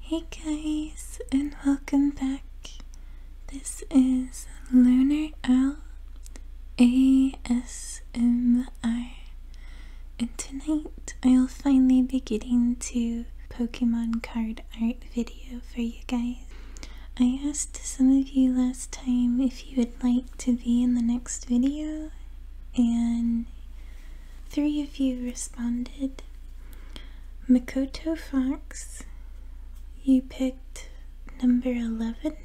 Hey guys, and welcome back. This is Lunar L A S M I, and tonight I'll finally be getting to Pokemon card art video for you guys. I asked some of you last time if you would like to be in the next video, and Three of you responded. Makoto Fox, you picked number 11.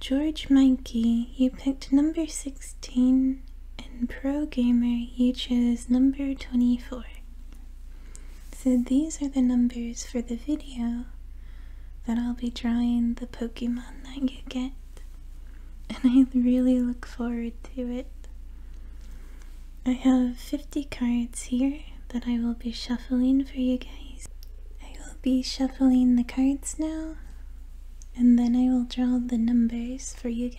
George Mikey, you picked number 16. And Pro Gamer, you chose number 24. So these are the numbers for the video that I'll be drawing the Pokemon that you get and I really look forward to it. I have 50 cards here that I will be shuffling for you guys. I will be shuffling the cards now, and then I will draw the numbers for you guys.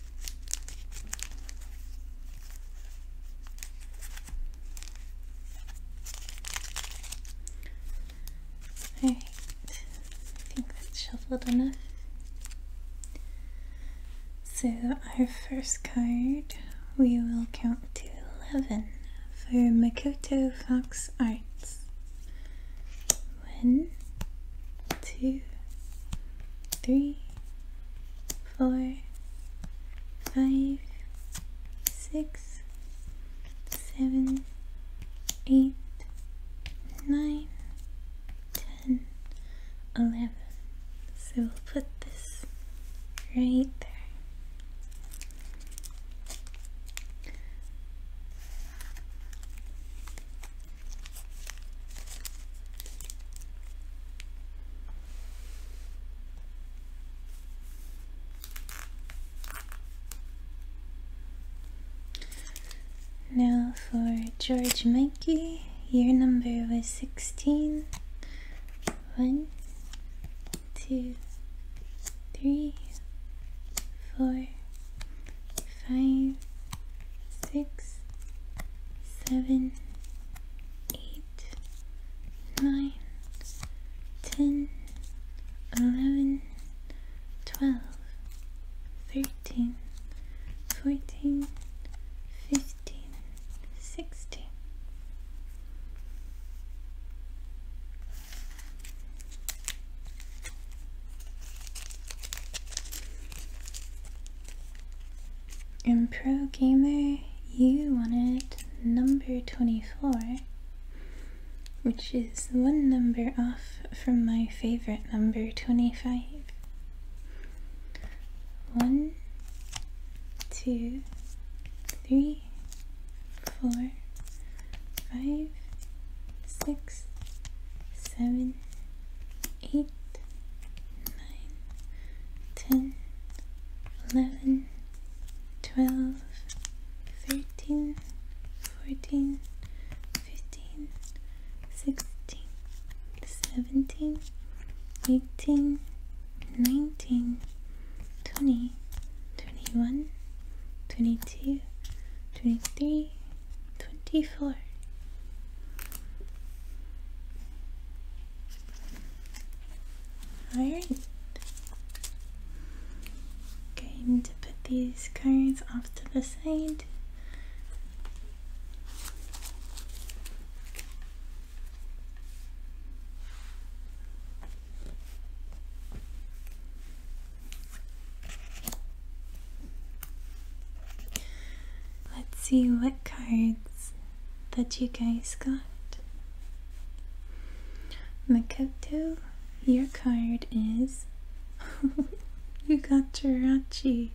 Alright, I think that's shuffled enough. So, our first card we will count to 11 for Makoto Fox Arts. One, two, three, four, five, six, seven, eight, nine, ten, eleven. So we'll put this right there. Now for George Mikey, your number was 16. One, two, three, four, five, six, seven, eight, nine, ten, eleven, twelve, thirteen, fourteen, fifteen, sixteen. In Pro Gamer, you wanted number 24, which is one number off from my favorite number 25. One, two, three, four, five, six, seven, 8, 9, 10, 11, 12, 13, 14, 15, 16, 17, 18, 19, 20, 21, 22, 23, 24 Alright going to put these cards off to the side Let's see what cards that you guys got. Makoto, your card is. you got Jirachi.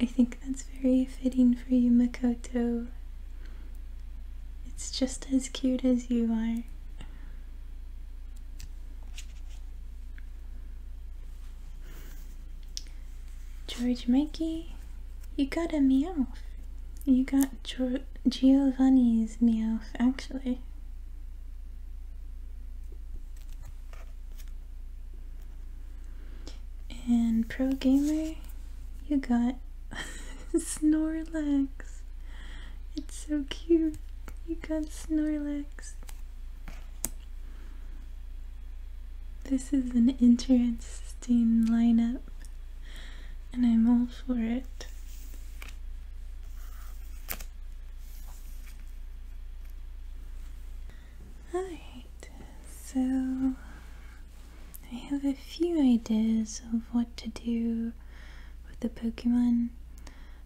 I think that's very fitting for you, Makoto. It's just as cute as you are. George Mikey, you got a meow. You got Giovanni's meow, actually. And Pro Gamer, you got Snorlax. It's so cute. You got Snorlax. This is an interesting lineup, and I'm all for it. Alright, so I have a few ideas of what to do with the Pokemon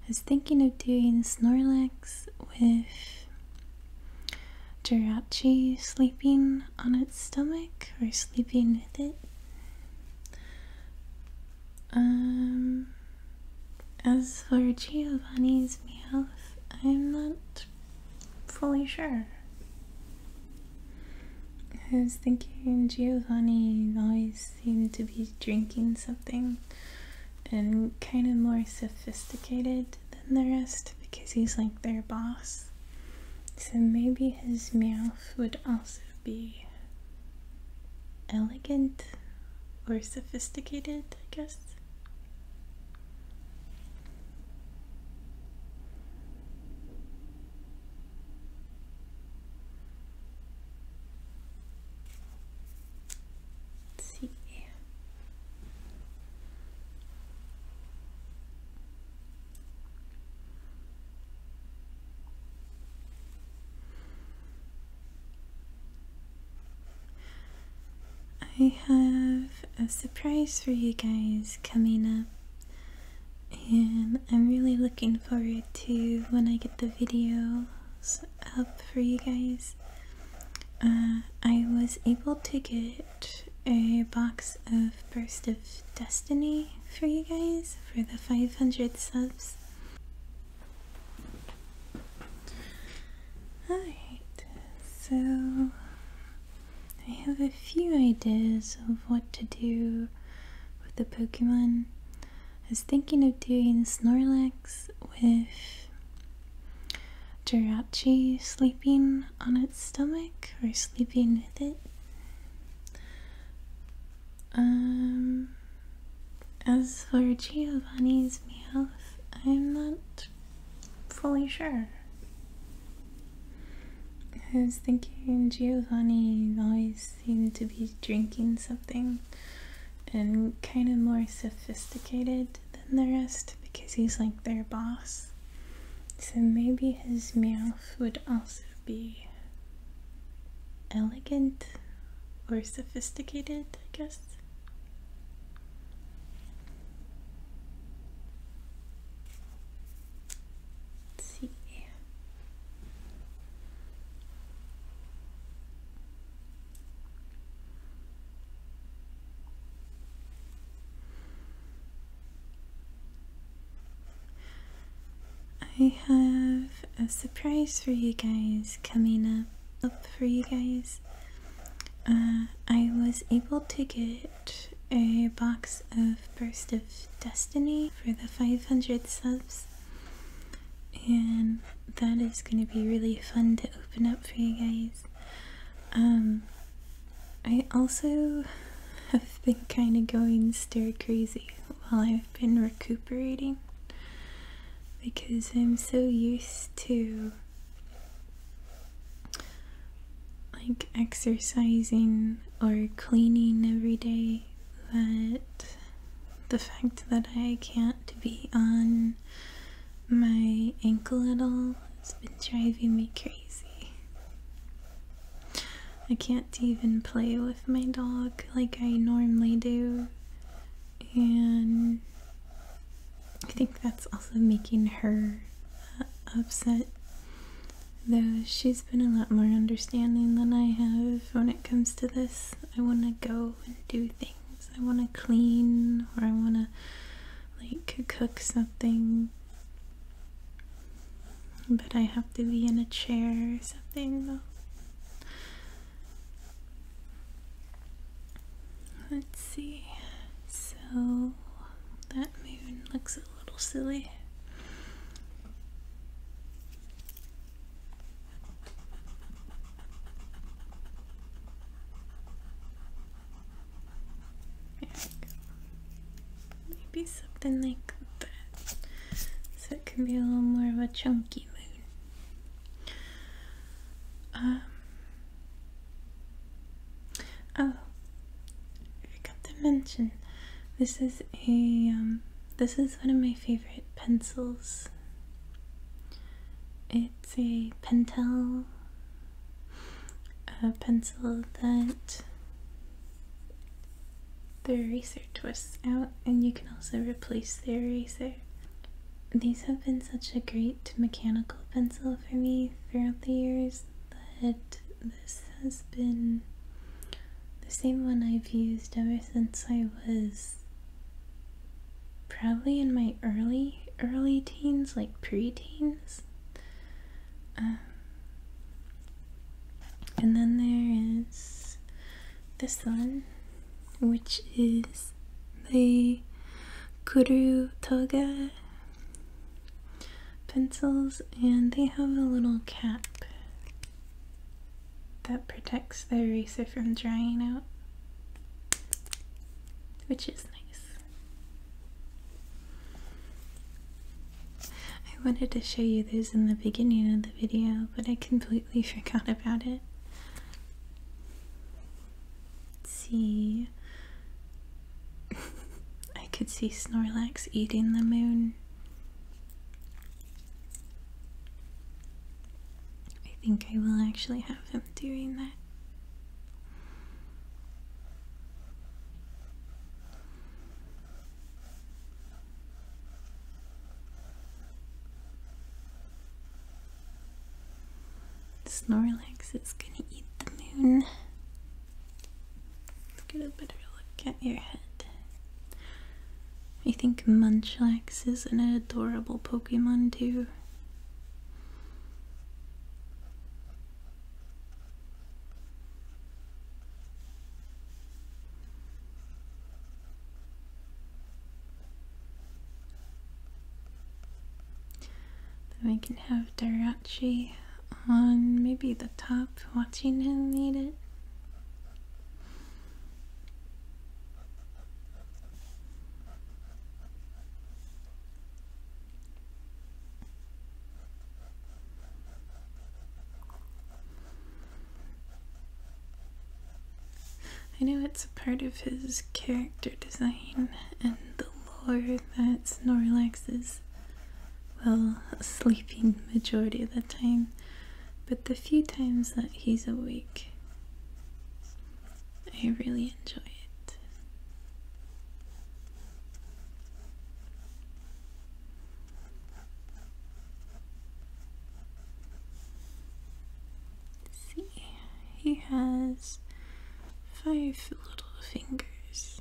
I was thinking of doing Snorlax with Jirachi sleeping on its stomach or sleeping with it. Um, as for Giovanni's Meowth, I'm not fully sure. I was thinking Giovanni always seemed to be drinking something and kind of more sophisticated than the rest because he's like their boss. So maybe his mouth would also be elegant or sophisticated, I guess. Let's I have a surprise for you guys coming up and I'm really looking forward to when I get the videos up for you guys uh, I was able to get a box of Burst of Destiny for you guys for the 500 subs. Alright, so I have a few ideas of what to do with the Pokemon. I was thinking of doing Snorlax with Jirachi sleeping on its stomach or sleeping with it. Um, as for Giovanni's mouth, I'm not fully sure. I was thinking Giovanni always seemed to be drinking something and kind of more sophisticated than the rest because he's like their boss. So maybe his mouth would also be elegant or sophisticated, I guess. see. I have a surprise for you guys coming up, up for you guys. Uh, I was able to get a box of Burst of Destiny for the 500 subs. And that is going to be really fun to open up for you guys. Um, I also have been kind of going stir crazy while I've been recuperating because I'm so used to like exercising or cleaning every day that the fact that I can't be on my ankle at all. It's been driving me crazy. I can't even play with my dog like I normally do. And I think that's also making her uh, upset. Though she's been a lot more understanding than I have when it comes to this. I want to go and do things. I want to clean or I want to like cook something. But I have to be in a chair or something Let's see. So that moon looks a little silly. Maybe something like that. So it can be a little more of a chunky moon. Um, oh, I forgot to mention, this is a, um, this is one of my favorite pencils. It's a Pentel a pencil that the eraser twists out and you can also replace the eraser. These have been such a great mechanical pencil for me throughout the years that this has been the same one I've used ever since I was probably in my early early teens, like pre-teens. Um, and then there is this one, which is the Kuru Toga pencils, and they have a little cap that protects the eraser from drying out which is nice. I wanted to show you this in the beginning of the video, but I completely forgot about it. Let's see. I could see Snorlax eating the moon. I think I will actually have him doing that. Snorlax is gonna eat the moon. get a better look at your head. I think Munchlax is an adorable Pokemon too we can have Dirachi on maybe the top, watching him eat it. I know it's a part of his character design and the lore that Snorlax is, well, sleeping majority of the time, but the few times that he's awake, I really enjoy it. See, he has five little fingers.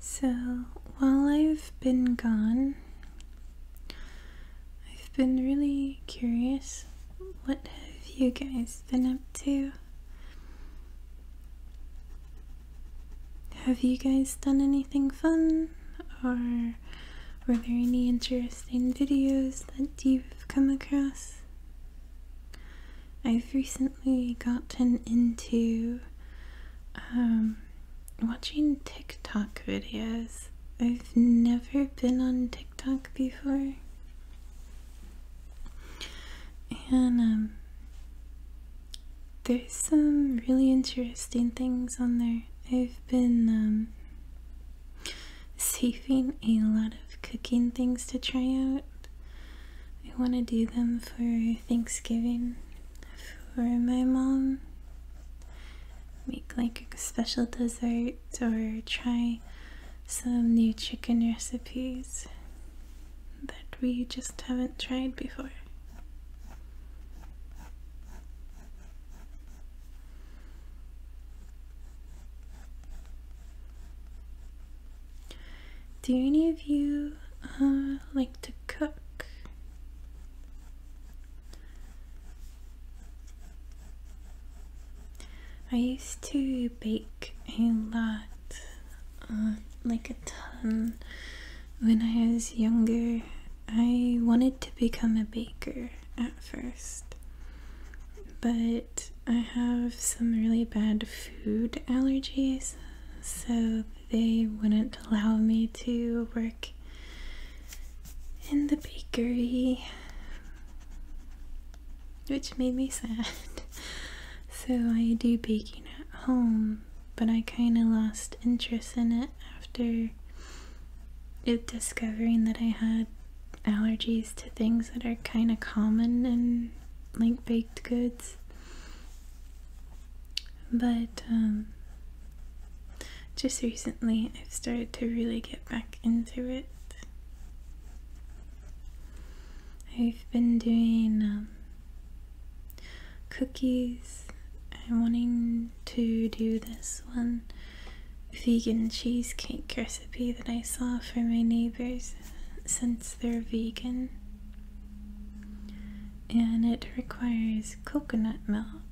So, while I've been gone, I've been really curious. What have you guys been up to? Have you guys done anything fun? Or were there any interesting videos that you've come across? I've recently gotten into um, watching TikTok videos. I've never been on TikTok before. And um, there's some really interesting things on there. I've been um, saving a lot of cooking things to try out. I want to do them for Thanksgiving for my mom make like a special dessert or try some new chicken recipes that we just haven't tried before. Do any of you uh, like to cook? I used to bake a lot, uh, like a ton, when I was younger. I wanted to become a baker at first, but I have some really bad food allergies, so they wouldn't allow me to work in the bakery, which made me sad. so I do baking at home, but I kind of lost interest in it after discovering that I had allergies to things that are kind of common in like baked goods. But um, just recently, I've started to really get back into it. I've been doing um, cookies. I'm wanting to do this one vegan cheesecake recipe that I saw for my neighbors since they're vegan. And it requires coconut milk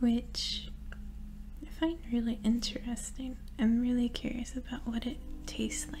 which I find really interesting. I'm really curious about what it tastes like.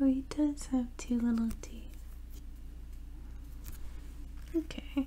Oh, he does have two little teeth. Okay.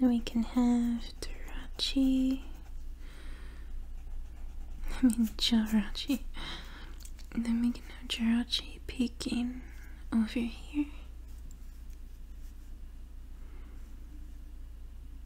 Then we can have Jirachi. I mean Jirachi. Then we can have Jirachi peeking over here.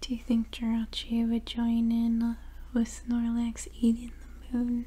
Do you think Jirachi would join in with Snorlax eating the moon?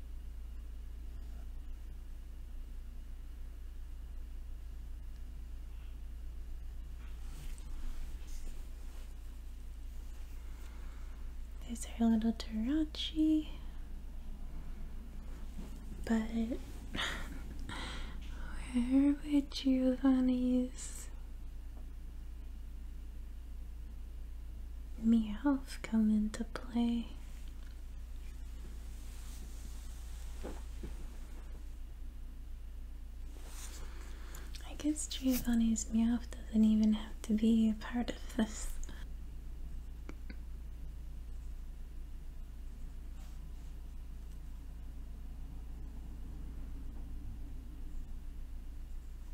These are little Tarachi, but where would you, honeys? Meowth come into play. I guess Giovanni's Meowth doesn't even have to be a part of this.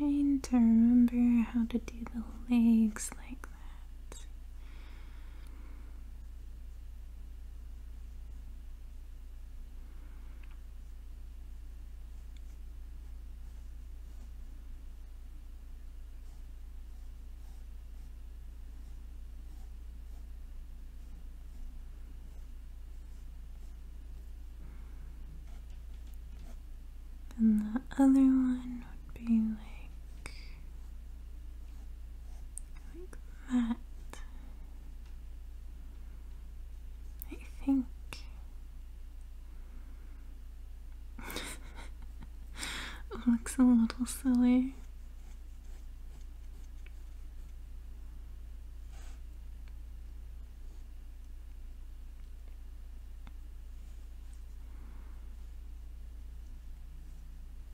Trying to remember how to do the legs like and the other one would be like like that. I think. it looks a little silly.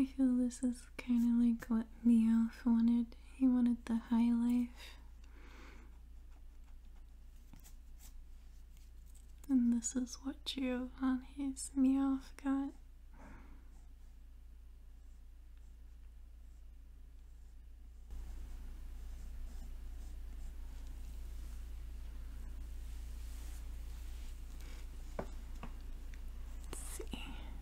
I feel this is kind of like what Meowth wanted. He wanted the high life. And this is what Giovanni's Meowth got. Let's see.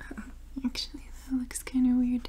Uh, actually, that looks kind of weird.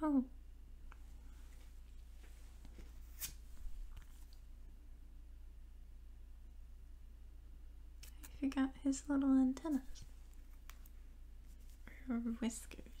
Oh. I forgot his little antennas. Or whiskers.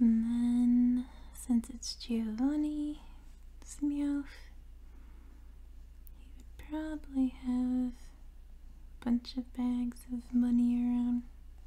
And then, since it's Giovanni Smioff, he would probably have a bunch of bags of money around.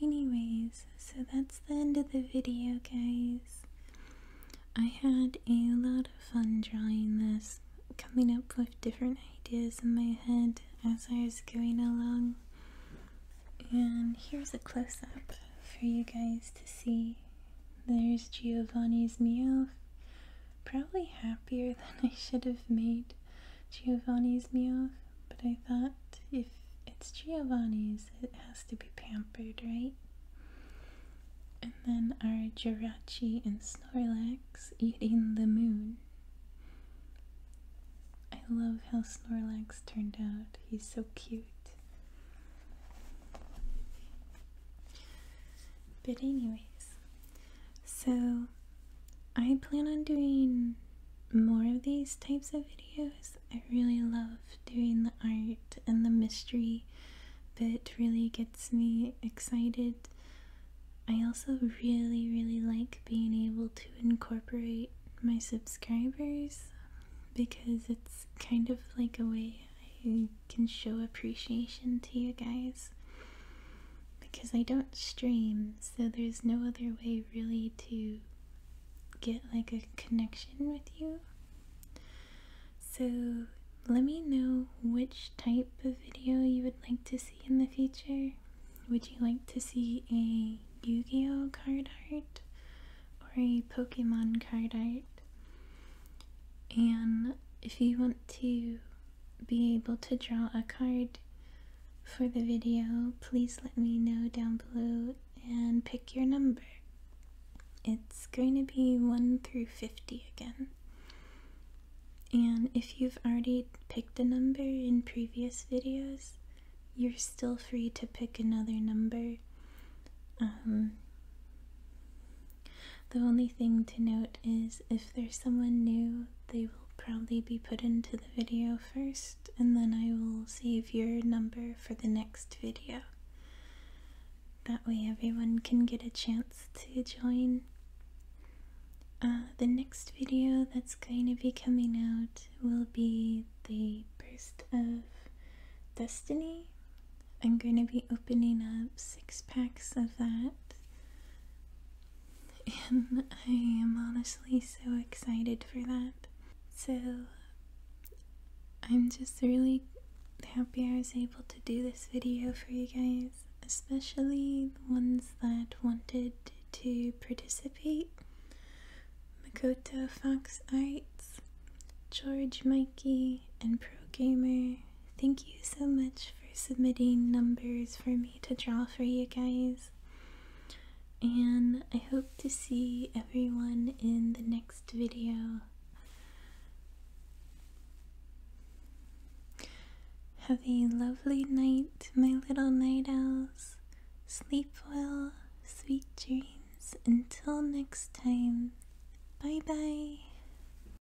Anyways, so that's the end of the video, guys. I had a lot of fun drawing this, coming up with different ideas in my head as I was going along. And here's a close up for you guys to see there's Giovanni's meal. Probably happier than I should have made Giovanni's meal, but I thought if it's Giovanni's, it has to be pampered, right? And then our Jirachi and Snorlax eating the moon. I love how Snorlax turned out. He's so cute. But anyways, so, I plan on doing more of these types of videos. I really love doing the art and the mystery bit really gets me excited. I also really, really like being able to incorporate my subscribers because it's kind of like a way I can show appreciation to you guys because I don't stream, so there's no other way really to get like a connection with you. So let me know which type of video you would like to see in the future. Would you like to see a Yu-Gi-Oh card art or a Pokemon card art? And if you want to be able to draw a card for the video, please let me know down below and pick your number. It's going to be 1 through 50 again. And if you've already picked a number in previous videos, you're still free to pick another number. Um, the only thing to note is if there's someone new, they will probably be put into the video first, and then I will save your number for the next video. That way everyone can get a chance to join. Uh, the next video that's going to be coming out will be the Burst of Destiny I'm going to be opening up six packs of that. And I am honestly so excited for that. So I'm just really happy I was able to do this video for you guys, especially the ones that wanted to participate. Makoto Fox Arts, George Mikey, and Pro Gamer. Thank you so much for submitting numbers for me to draw for you guys. And I hope to see everyone in the next video. Have a lovely night, my little night owls. Sleep well, sweet dreams. Until next time, bye bye.